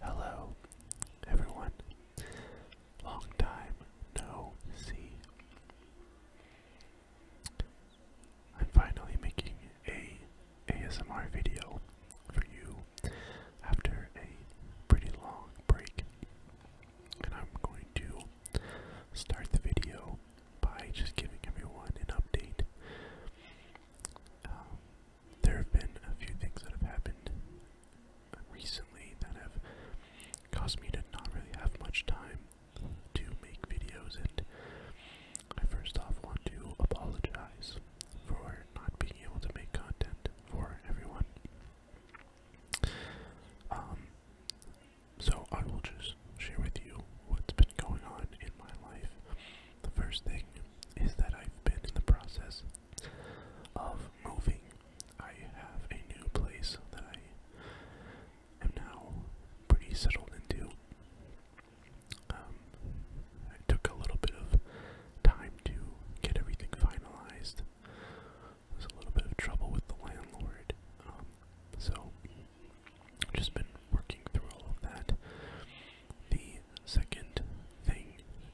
Hello, everyone. Long time no see. I'm finally making a ASMR video for you after a pretty long break. And I'm going to start the video by just giving everyone an update. Um, there have been a few things that have happened recently that have caused me to not really have much time to make videos, and I first off want to apologize for not being able to make content for everyone. Um, so I will just share with you what's been going on in my life. The first thing is that I've been in the process of moving. I have a new place that I am now pretty settled into. Um, I took a little bit of time to get everything finalized. There's a little bit of trouble with the landlord. Um, so just been working through all of that. The second thing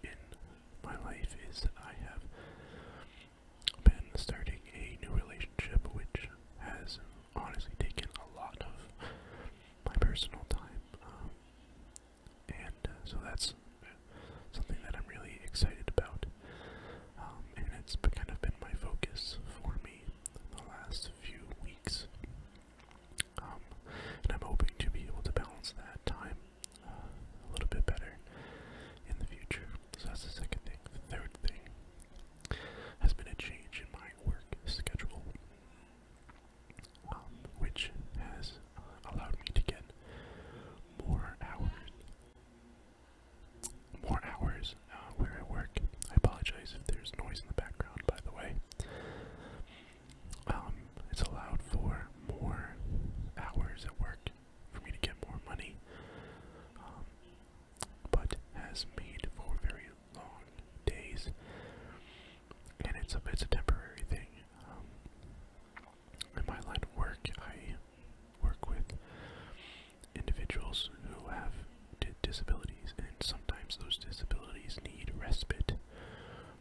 in my life is that I have been starting a new relationship, which has honestly taken a lot of my personal time. Um, and uh, so that's something that I'm really excited about. Um, and it's kind of been my focus for me the last few weeks. Um, and I'm hoping to be able to balance that time uh, a little bit better in the future. So that's the second thing. The third thing has been a change in my work schedule, um, which has allowed me to get more hours more hours uh, where I work. I apologize if there's noise in the background, by the way. Um, it's allowed for more hours at work for me to get more money, um, but has made for very long days, and it's a it's a temporary thing. Um, my line work, I work with individuals who have disabilities, and sometimes those disabilities need respite,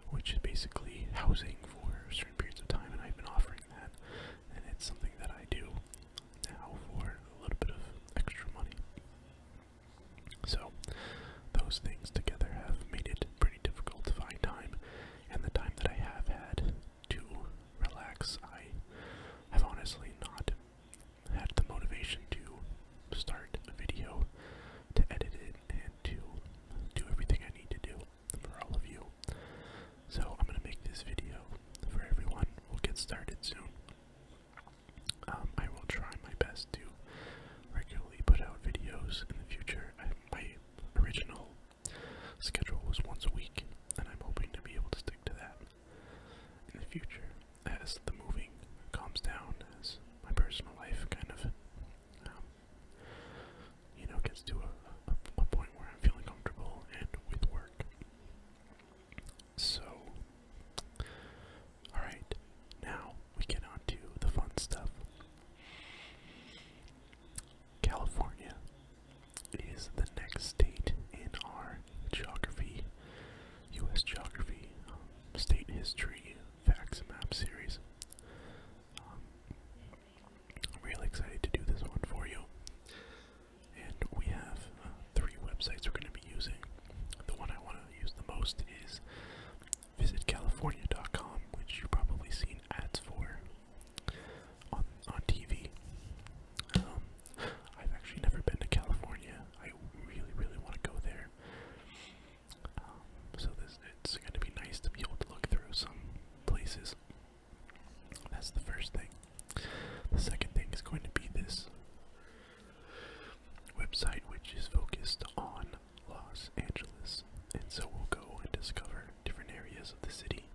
which is basically housing for certain periods of time, and I've been offering that, and it's something that I do now for a little bit of extra money. So, those things together have made it pretty difficult to find time, and the time that I have had to relax, I have honestly not had the motivation to start a video, to edit it, and to do everything I need to do for all of you. So I'm going to make this video for everyone. We'll get started soon. Um, I will try my best to regularly put out videos in the future. my original schedule was once a week, and I'm hoping to be able to stick to that in the future as the moving calms down, as my personal life kind of, um, you know, gets to a, point where I'm feeling comfortable and with work. So, alright, now we get on the fun stuff. California is the next state in our geography, U.S. geography, um, state history, facts and map series. Um, I'm really excited to do this one for you. And we have uh, three websites we're going to be using. The one I want to use the most is visitcalifornia.com, which you've probably seen ads for on, on TV. Um, I've actually never been to California. I really, really want to go there. Um, so this it's going to be nice to be able to look through some places. That's the first thing. The second thing is going to be this website, which is focused on Los Angeles, and so we'll go and discover different areas of the city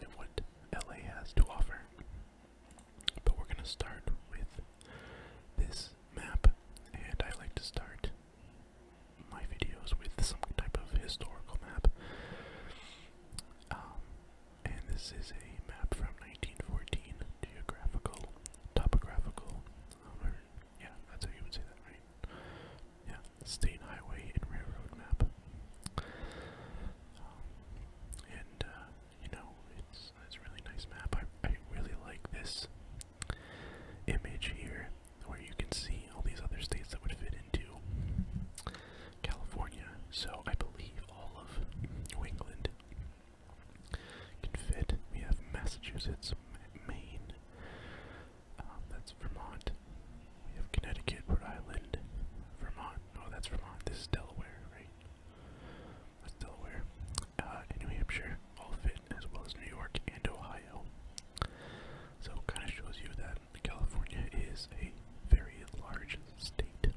and what LA has to offer. But we're going to start with this map, and I like to start my videos with some type of historical map. Um, and this is a map from 1914, geographical, topographical, yeah, that's how you would say that, right? Yeah, state highway and railroad map. Um, and uh, you know, it's it's really nice map. I I really like this image here, where you can see all these other states that would fit into California. So I believe all of New England can fit. We have Massachusetts, Maine. Um, that's Vermont. We have Connecticut, Rhode Island, Vermont, Oh, that's Vermont. This is Delaware, right? That's Delaware. Uh, and New Hampshire all fit, as well as New York and Ohio. So it kind of shows you that California is a very large state.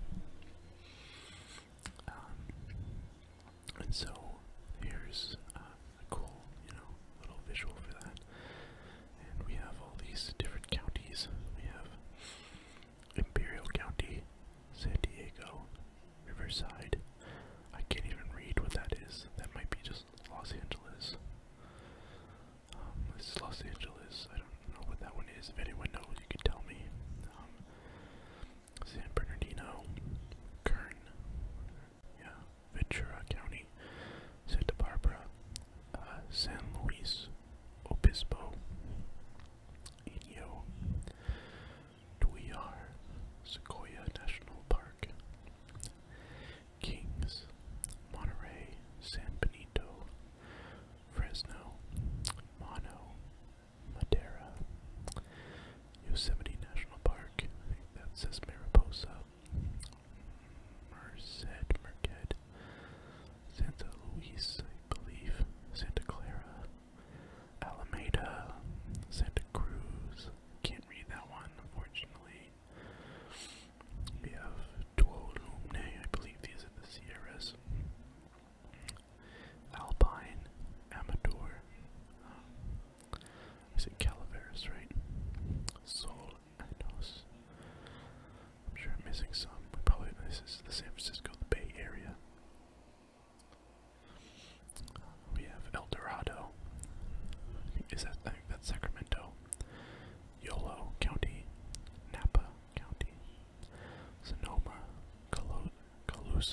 Um, and so here's uh, a cool, you know, little visual for that. And we have all these different counties. We have Imperial County, San Diego, Riverside. I can't even read what that is. That might be just Los Angeles. Um, this is Los Angeles. I don't know what that one is. If anyone knows, you can tell me. Um, San Bernardino, Kern, yeah, Ventura County, Santa Barbara, uh, San Luis, Obispo, Inyo, Duyar, Sequoia National Park, Kings, Monterey, San Benito, Fresno, Mono, Madera, Yosemite National Park, I think that says Mariposa, Merced, Merced, Santa Luis, I believe, Santa Clara, Alameda, Santa Cruz. Can't read that one, unfortunately. We have Tuolumne, I believe these are the Sierras. Alpine, Amador. Um, is it Calaveras, right? So. I'm sure I'm missing some. probably this is the San Francisco, the Bay Area. We have El Dorado. Is that I think that's Sacramento? Yolo County, Napa County, Sonoma, Calo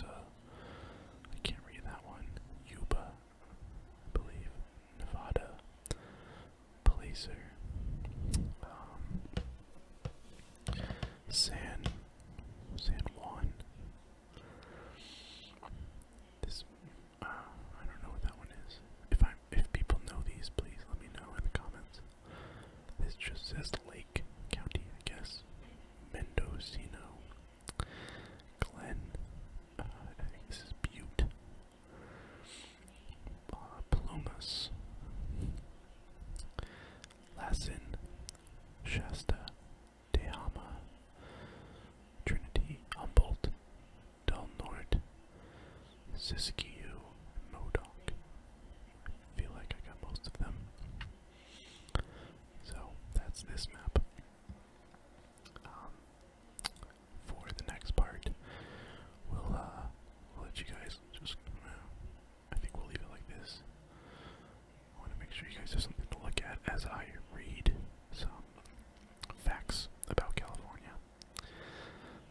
I can't read that one. Yuba, I believe. Nevada, placer, um, San, San Juan. This, uh, I don't know what that one is. If I, if people know these, please let me know in the comments. This just says Lake County, I guess. Mendocino, Glen. Uh, I think this is Butte. Bar Lassen, Shasta, Tehama, Trinity, Humboldt, Del Norte, Siskiyou, Modoc. I feel like I got most of them. So that's this map. Um, for the next part. We'll uh, let you guys just. Uh, I think we'll leave it like this. I want to make sure you guys have something to look at as I read some facts about California.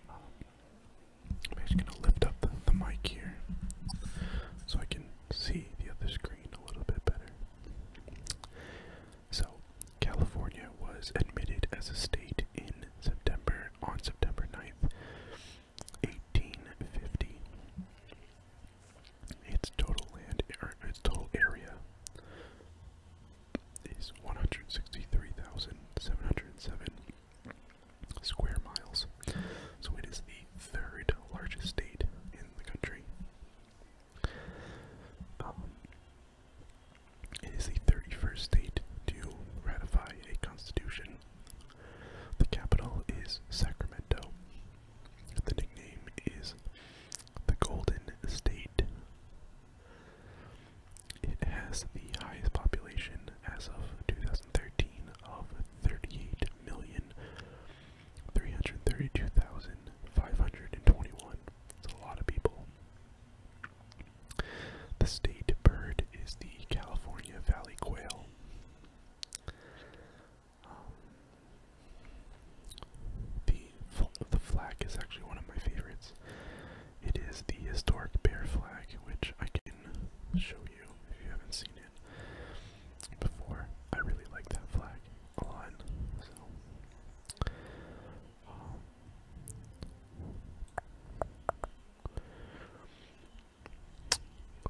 Um, I'm just gonna lift up the mic here so I can see the other screen a little bit better. So, California was admitted as a state in September on September 9th, 1850. Its total land er, its total area is 163,707 square miles. So it is the third largest state in the country. Um, it is the 31st state to ratify a constitution. The capital is Sacramento. The nickname is the Golden State. It has the highest population as of 2013 of 38,332,521. It's a lot of people. The state bird is the California Valley quail. Um, the flag is actually one of my favorites. It is the historic bear flag, which I can show you if you haven't seen it before. I really like that flag a lot.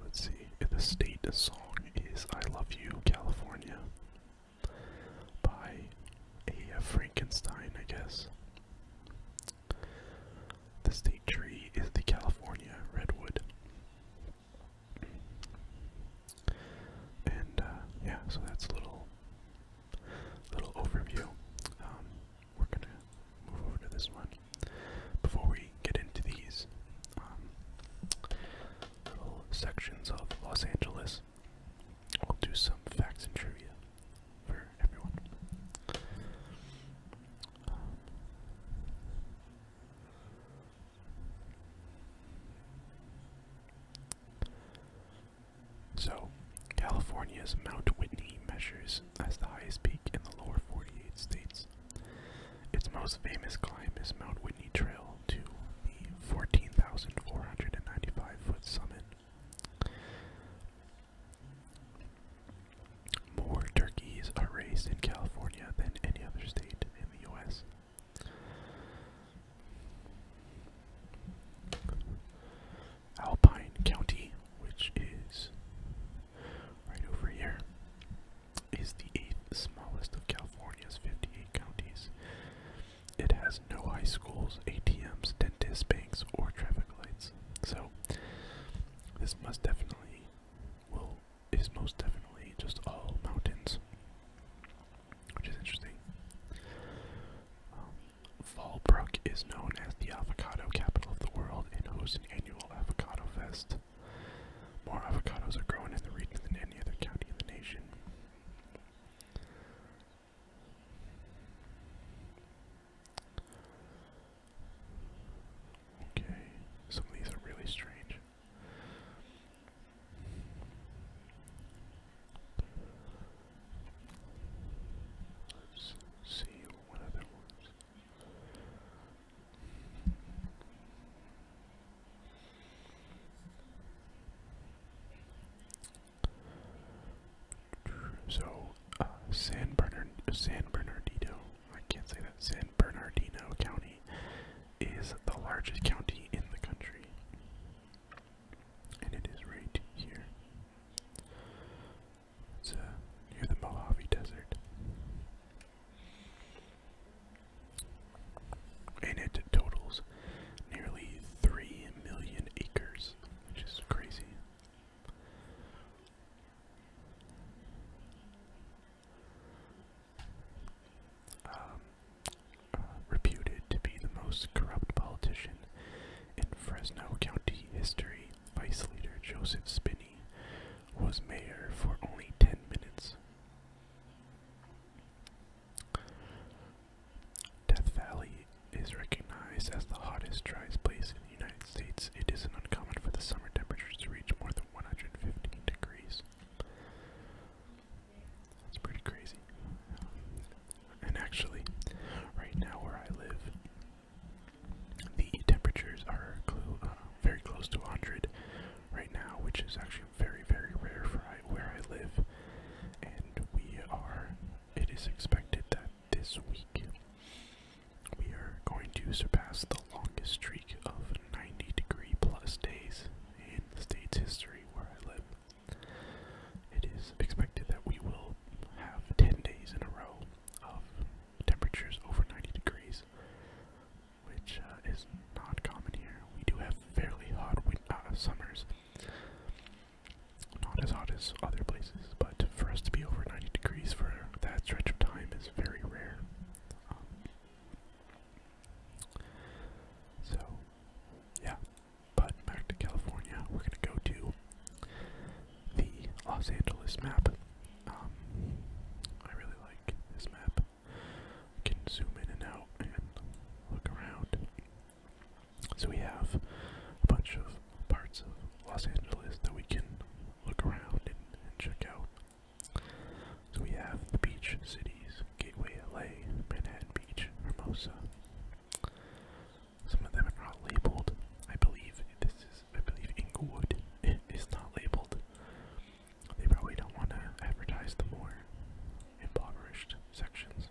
Let's see. The state song is I Love You, California by A. Frankenstein, I guess. The state tree is the California redwood. And uh, yeah, so that's a little little overview. Um, we're gonna move over to this one before we get into these um, little sections of Los Angeles. We'll do some facts and trivia for everyone. So, California's Mount Whitney measures as the highest peak in the lower 48 states. Its most famous climb is Mount Whitney Trail to the 14,495 foot summit. More turkeys are raised in California than any other state in the US. Alpine County, which is right over here, is the eighth smallest of California's 58 counties. It has no high schools, ATMs, dentists, banks, or traffic lights. So this must definitely well, is most definitely just all mountains which is interesting. Um, Fallbrook is known as the avocado capital of the world and hosts an annual avocado fest. More avocados are grown in the region than any other county in the nation. Okay, some of these are really strange. Let's see what other ones. So, uh, San Bernard, San Bernardino, I can't say that, San Bernardino County is the largest county in the country and it is right here. It's uh, near the Mojave Desert. And it totals nearly 3 million acres, which is crazy. Um, reputed to be the most corrupt politician in Fresno County history, Vice Leader Joseph Spinney was mayor for only 10 minutes. Death Valley is recognized as the hottest, driest place in the United States. It isn't uncommon for the summer temperatures to reach more than 115 degrees. It's pretty crazy. And actually, right now where I live, the temperatures are uh, very close to 100 right now, which is actually very, very rare for where I live. And we are, it is expected that this week we are going to surpass the longest streak of 90 degree plus days in the state's history where I live. It is expected that we will have 10 days in a row of temperatures over 90 degrees, which uh, is not common here. We do have fairly hot uh, summers, not as hot as other places, but for us to be over 90 degrees for that stretch of time is very rare. Um, so, yeah, but back to California, we're gonna go to the Los Angeles map. Um, I really like this map. can zoom in and out and look around. So we have a bunch of parts of Los Angeles that we can look around and, and check out. So we have the beach cities, Gateway LA, Manhattan Beach, Hermosa. Some of them are not labeled. I believe this is, I believe Inglewood is not labeled. They probably don't want to advertise the more impoverished sections,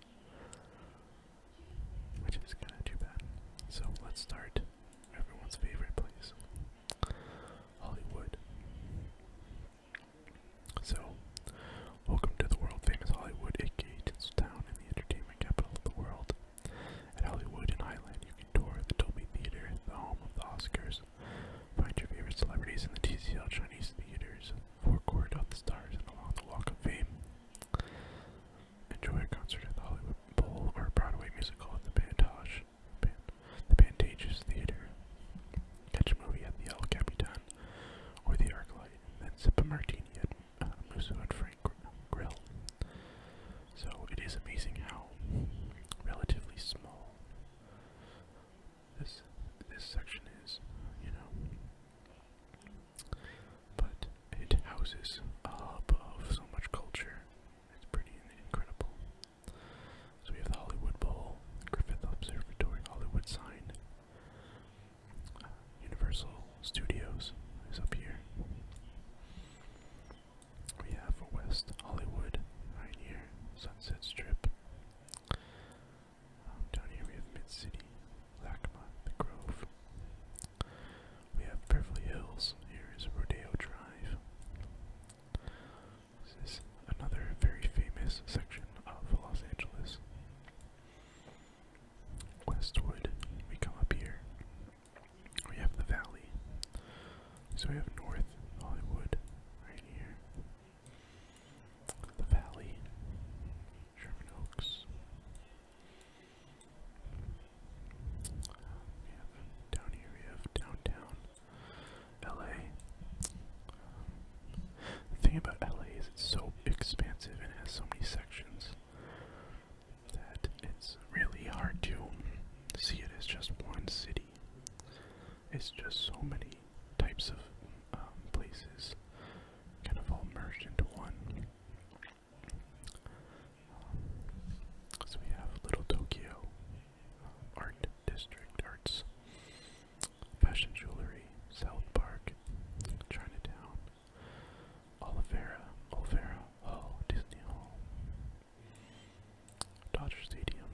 which is kind of too bad. So let's start everyone's favorite place Hollywood. So, welcome to the world famous Hollywood, aka Tinseltown, and the entertainment capital of the world. At Hollywood and Highland, you can tour the Dolby Theater, the home of the Oscars. Find your favorite celebrities in the TCL Chinese theaters, forecourt of the stars, and along the Walk of Fame. Enjoy a concert at the Hollywood Bowl or a Broadway musical at the Pantosh, the Pantages Theater. Catch a movie at the El Capitan or the Arc then sip a martini at uh, Musso and Frank Grill. So it is amazing how relatively small this this section is, you know. But it houses a hub of so much culture. It's pretty incredible. So we have the Hollywood Bowl, the Griffith Observatory, Hollywood Sign, Universal Studios is up here. We have West Hollywood right here, Sunset Strip. Um, down here we have Mid City, Lacma, The Grove. We have Beverly Hills. Here is Rodeo Drive. This is another very famous section of Los Angeles. Westwood, we come up here. We have the valley. So we have North Hollywood right here. The valley. Sherman Oaks. We have down here we downtown. LA. The thing about LA is it's so expansive and has so many sections that it's really hard to see it as just one city. It's just so many types of um, places kind of all merged into one. Um, so we have Little Tokyo Art District Arts. Fashion Jewelry, South Park, Chinatown, Olivera, Olivera Hall, oh, Disney Hall, Dodger Stadium.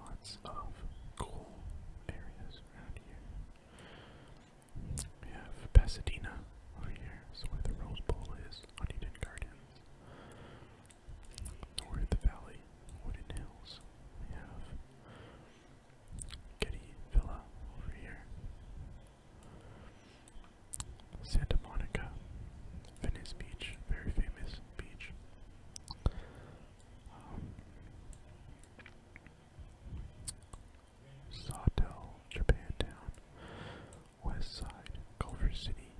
Lots of cool areas around here. We have Pasadena over here, where the Rose Bowl is, Huntington Gardens. North Valley Wooded Hills. We have Getty Villa over here. Santa Monica, Venice Beach, very famous beach. Um, Sawtell, Japantown, West Culver City,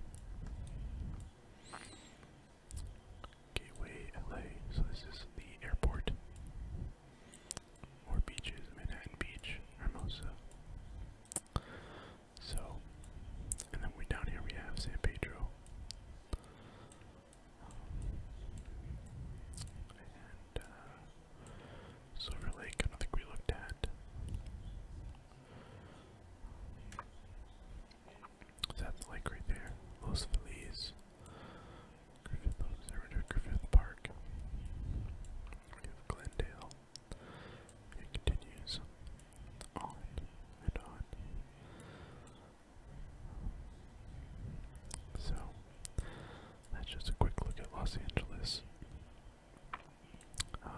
Gateway LA, so this is the airport. More beaches, Manhattan Beach, Hermosa. So, and then we down here, we have San Pedro. and uh, Silver Lake, I don't think we looked at. That's like right there. Los Feliz. Griffith, Park. We have Glendale. It continues on and on. So, that's just a quick look at Los Angeles. Um,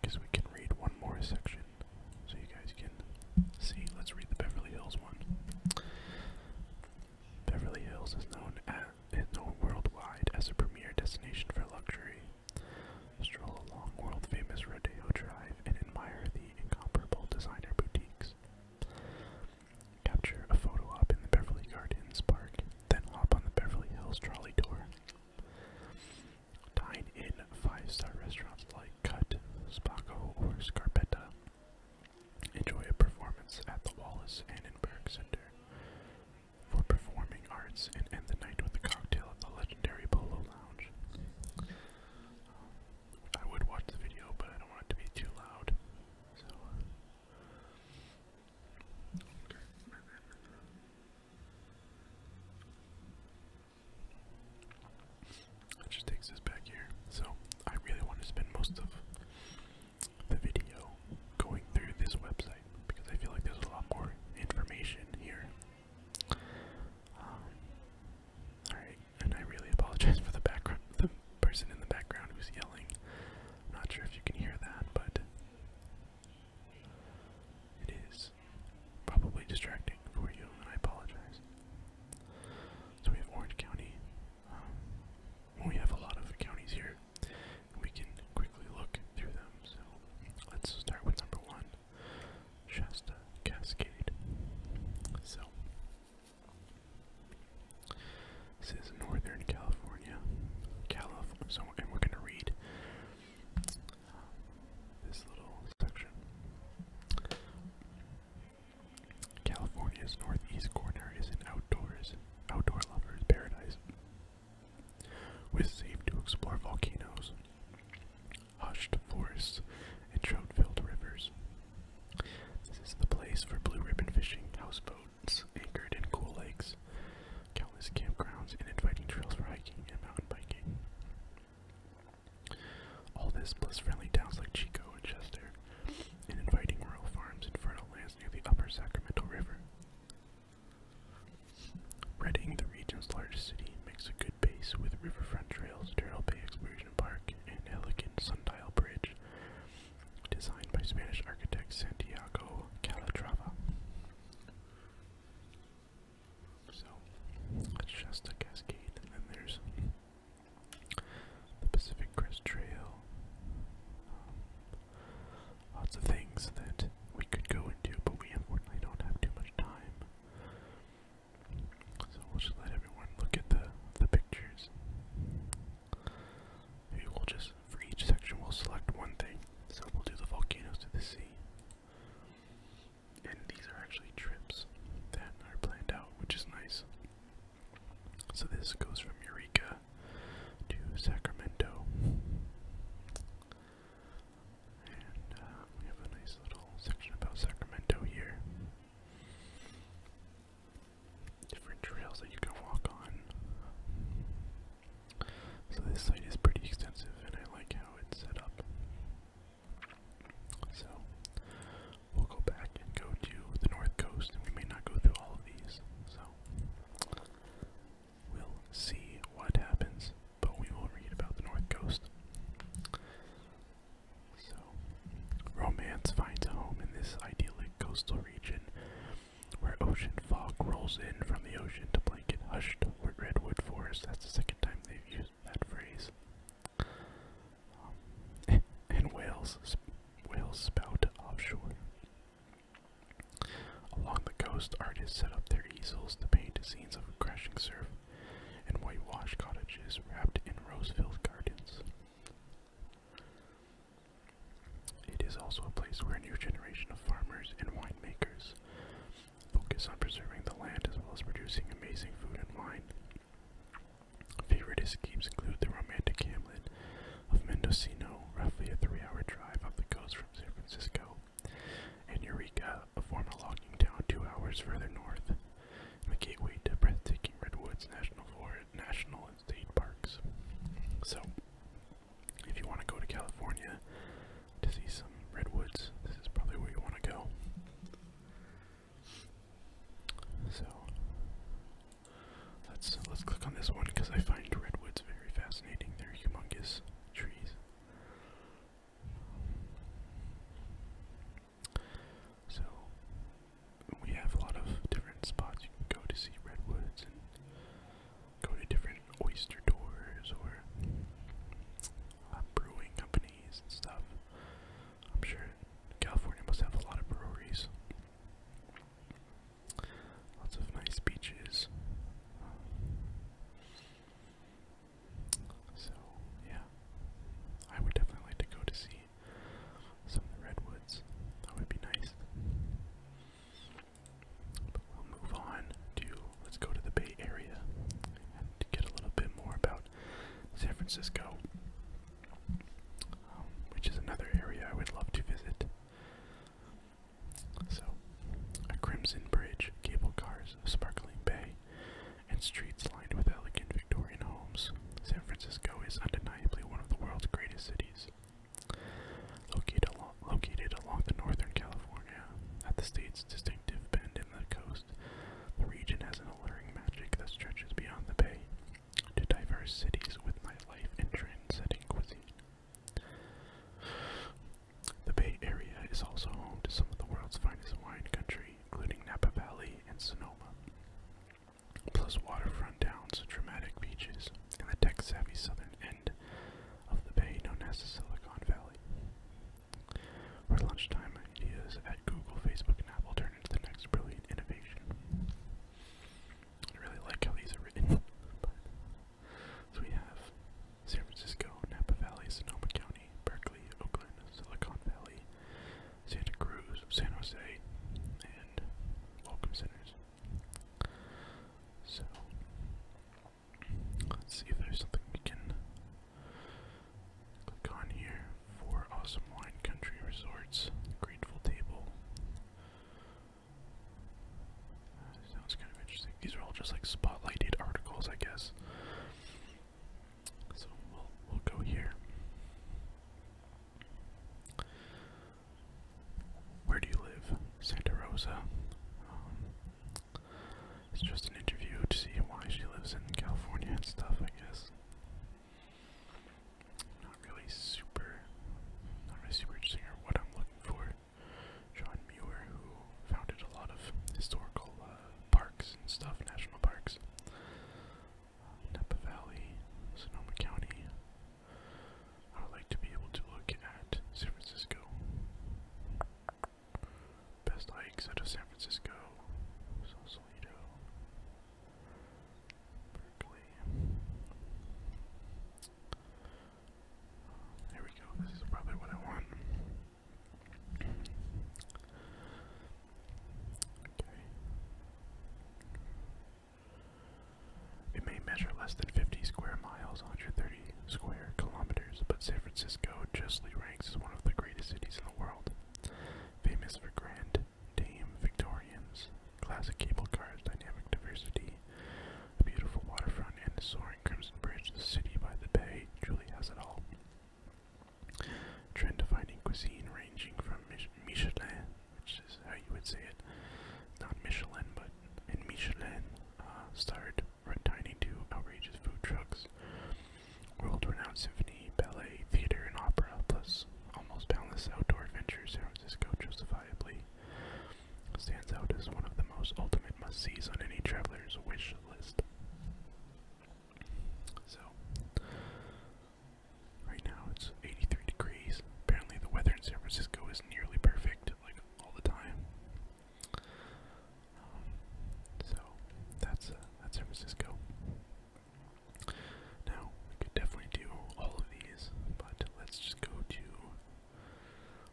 because we can read one more section so you guys can see. Let's read the Beverly Hills one. Beverly Hills is known, at, is known worldwide as a premier destination for luxury. Stroll along world famous Rodeo Drive and admire the incomparable designer boutiques. Capture a photo op in the Beverly Gardens Park, then hop on the Beverly Hills trolley tour. Dine in five-star restaurants like Cut, Spaco, or Scarpetta. Enjoy a performance at the Wallace Annenberg Center for Performing Arts and end the night with a cocktail at the legendary Polo Lounge. I would watch the video, but I don't want it to be too loud. So, uh, it just takes us back here. So I really want to spend most of the video going through this website because I feel like there's a lot more information here. Um, alright, and I really apologize for the background the person in the background who's yelling. not sure if you can hear that, but it is probably distracting for you, I apologize. So we have Orange County. Um, we have a lot of counties here. We can quickly look through them. So let's start with number one, Shasta Cascade. So this is Northern California, Calif. So and we're gonna read this little section. California's northeast corner is an outdoors outdoor lovers paradise. With safe to explore volcanoes, hushed forests, and trout-filled rivers. This is the place for blue ribbon fishing, houseboats anchored in cool lakes, countless campgrounds, and inviting trails for hiking and mountain biking. All this plus friendly towns like Chico and Chester, and inviting rural farms and fertile lands near the upper Sacramento River. Redding, the region's largest city, makes a good base with riverfront trails, Terrell Bay Exploration Park, and elegant sundial bridge designed by Spanish architect Santiago Calatrava. So it's just a cascade, and then there's the Pacific Crest Trail. Um, lots of things that we could go into, but we don't have too much time. So we'll just let everyone look at the the pictures. we'll just for each section, we'll select one thing. So we'll do the volcanoes to the sea. And these are actually trips that are planned out, which is nice. So this goes from Eureka to Sacramento. And uh, we have a nice little section about Sacramento here. Different trails that you can walk on. So this site is pretty extensive and I like how it's set up. So we'll go back and go to the north coast and we may not go through all of these. So we'll see what happens, but we will read about the north coast. So romance finds a home in this idyllic coastal region where ocean fog rolls in from the ocean to blanket hushed redwood forest. That's the second time they've used that phrase. Um, and whales, whales spout offshore. Along the coast, artists set up their easels to paint scenes of crashing surf and whitewashed cottages wrapped in rose-filled gardens. It is also a place where a new generation of farmers and winemakers focus on preserving the land as well as producing amazing food and wine. Favorite escapes include the romantic hamlet of Mendocino, roughly a three hour drive up the coast from San Francisco, and Eureka, a former logging town two hours further north, the gateway to breathtaking Redwoods National Forest, National and State Parks. So, if you want to go to California to see some redwoods, this is probably where you want to go. So let's let's click on this one because I find redwoods very fascinating. They're humongous trees. So we have a lot of different spots you can go to see redwoods go to different oyster doors or uh, brewing companies and stuff. I'm sure California must have a lot of breweries. Lots of nice beaches. So, yeah. I would definitely like to go to see some of the redwoods. That would be nice we'll move on to let's go to the Bay Area and get a little bit more about San Francisco, um, which is another area I would love to visit. So, a crimson bridge, cable cars, a sparkling bay, and streets lined with elegant Victorian homes. San Francisco is undeniably one of the world's greatest cities. Located along, the northern California, at the state's distinctive bend in the coast, the region has an alluring magic that stretches beyond the bay to diverse cities with nightlife and trend cuisine. The Bay Area is also home to some of the world's finest wine country, including Napa Valley and Sonoma, plus waterfront towns, dramatic beaches, and the tech-savvy southern of the bay known as the Silicon Valley. Where lunchtime ideas at Google, Facebook, and Apple turn into the next brilliant innovation. I really like how these are written. So we have San Francisco, Napa Valley, Sonoma County, Berkeley, Oakland, Silicon Valley, Santa Cruz, San Jose, and Welcome Centers. So let's see if there's something we can click on here for awesome wine country resorts. Grateful table. Uh, sounds kind of interesting. These are all just like spotlighted articles, I guess. So we'll we'll go here. Where do you live? Santa Rosa. Um, it's just an interview to see why she lives in California and stuff, I guess. Not really super, not really super interesting what I'm looking for. John Muir, who founded a lot of historical uh, parks and stuff, national parks. Uh, Napa Valley, Sonoma County, I would like to be able to look at San Francisco. Best hikes out of San Francisco, Sausalito, Berkeley. There we go, this is probably what I want. Okay. It may measure less than 50 square miles, 130 square kilometers, but San Francisco justly ranks as one of the greatest cities in the world. Famous for Grand Dame Victorians, classic cable cars, dynamic diversity, a beautiful waterfront, and the soaring Crimson Bridge, the city by the bay truly has it all. Trend-defining cuisine ranging from Michelin which is how you would say it. Not Michelin, but in Michelin uh, started tiny to outrageous food trucks, world-renowned symphony, ballet, theater, and opera, plus almost boundless outdoor adventure. San Francisco justifiably stands out as one of the most ultimate must-sees on any traveler's wish list. So, Right now it's 83 degrees. Apparently, the weather in San Francisco is nearly perfect, like all the time. Um, so that's uh, San Francisco. Now we could definitely do all of these, but let's just go to.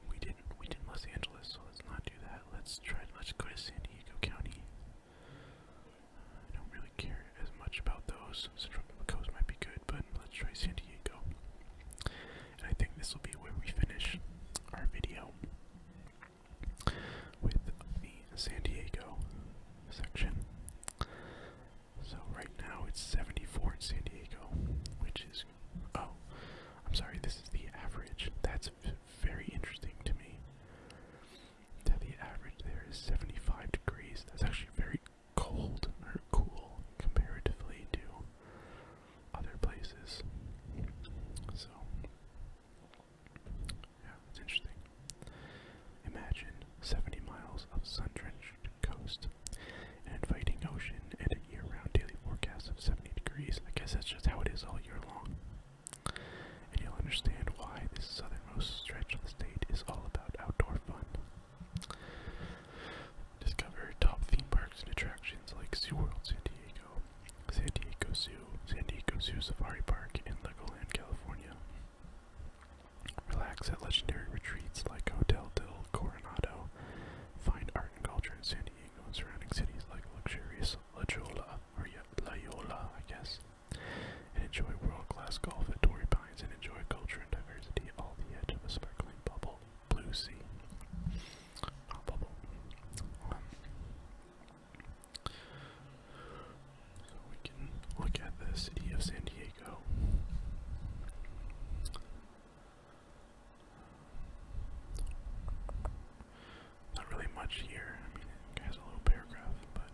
We didn't we did Los Angeles, so let's not do that. Let's try. Let's go to San Diego County. Uh, I don't really care as much about those. Central Coast might be good, but let's try San Diego. And I think this will be where we finish our video with the San Diego section. So right now it's 74 in San Diego, which is oh, I'm sorry, this is the average. That's very interesting to me. That the average there is 75 degrees. That's actually very cold or cool comparatively to other places. So, yeah, it's interesting. Imagine 70 miles of sun-drenched coast, an inviting ocean, and a year-round daily forecast of 70 degrees. I guess that's just how it is all year long. And you'll understand why this southernmost stretch of the state is all about outdoor fun. Discover top theme parks and attractions like SeaWorld San Diego, San Diego Zoo, San Diego Zoo Safari Park, and Legoland, California. Relax at legendary retreats like Hotel del Coronado. Find art and culture in San Diego and surrounding cities like luxurious La Jolla, or La Jolla, I guess. And enjoy world-class golf at Torrey Pines and enjoy culture and diversity all the edge of a sparkling bubble. Blue sea. Not bubble. so we can look at the city of San Diego. Not really much here. it has a little paragraph, but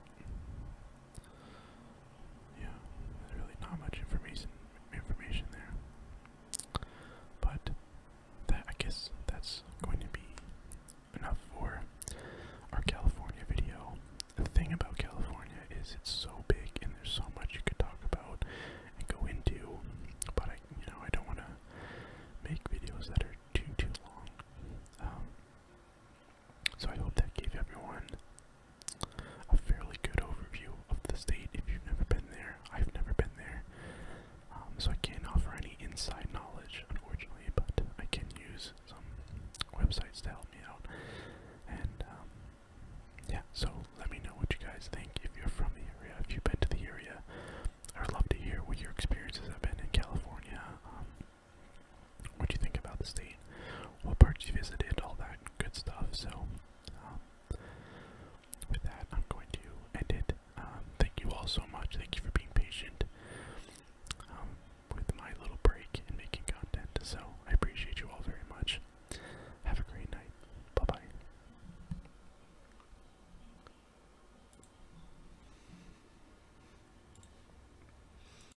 yeah, there's really not much information information there. But that I guess that's going to be enough for our California video. The thing about California is it's so big and there's so much you could talk about and go into, but I you know I don't want to make videos that are too too long. Um, so I hope that gave everyone a fairly good overview of the state if you've never been there. I've never been there. Um, so I can't offer any inside knowledge, unfortunately, but I can use some websites to help me out. And um, yeah, so let me know what you guys think if you're from the area, if you've been to the area. I'd love to hear what your experiences have been in California. Um, what do you think about the state, what parts you visited, all that good stuff. So, um, with that, I'm going to end it. Um, thank you all so much. Thank you for being patient um, with my little break and making content. So, I appreciate you all very much. Have a great night. Bye bye.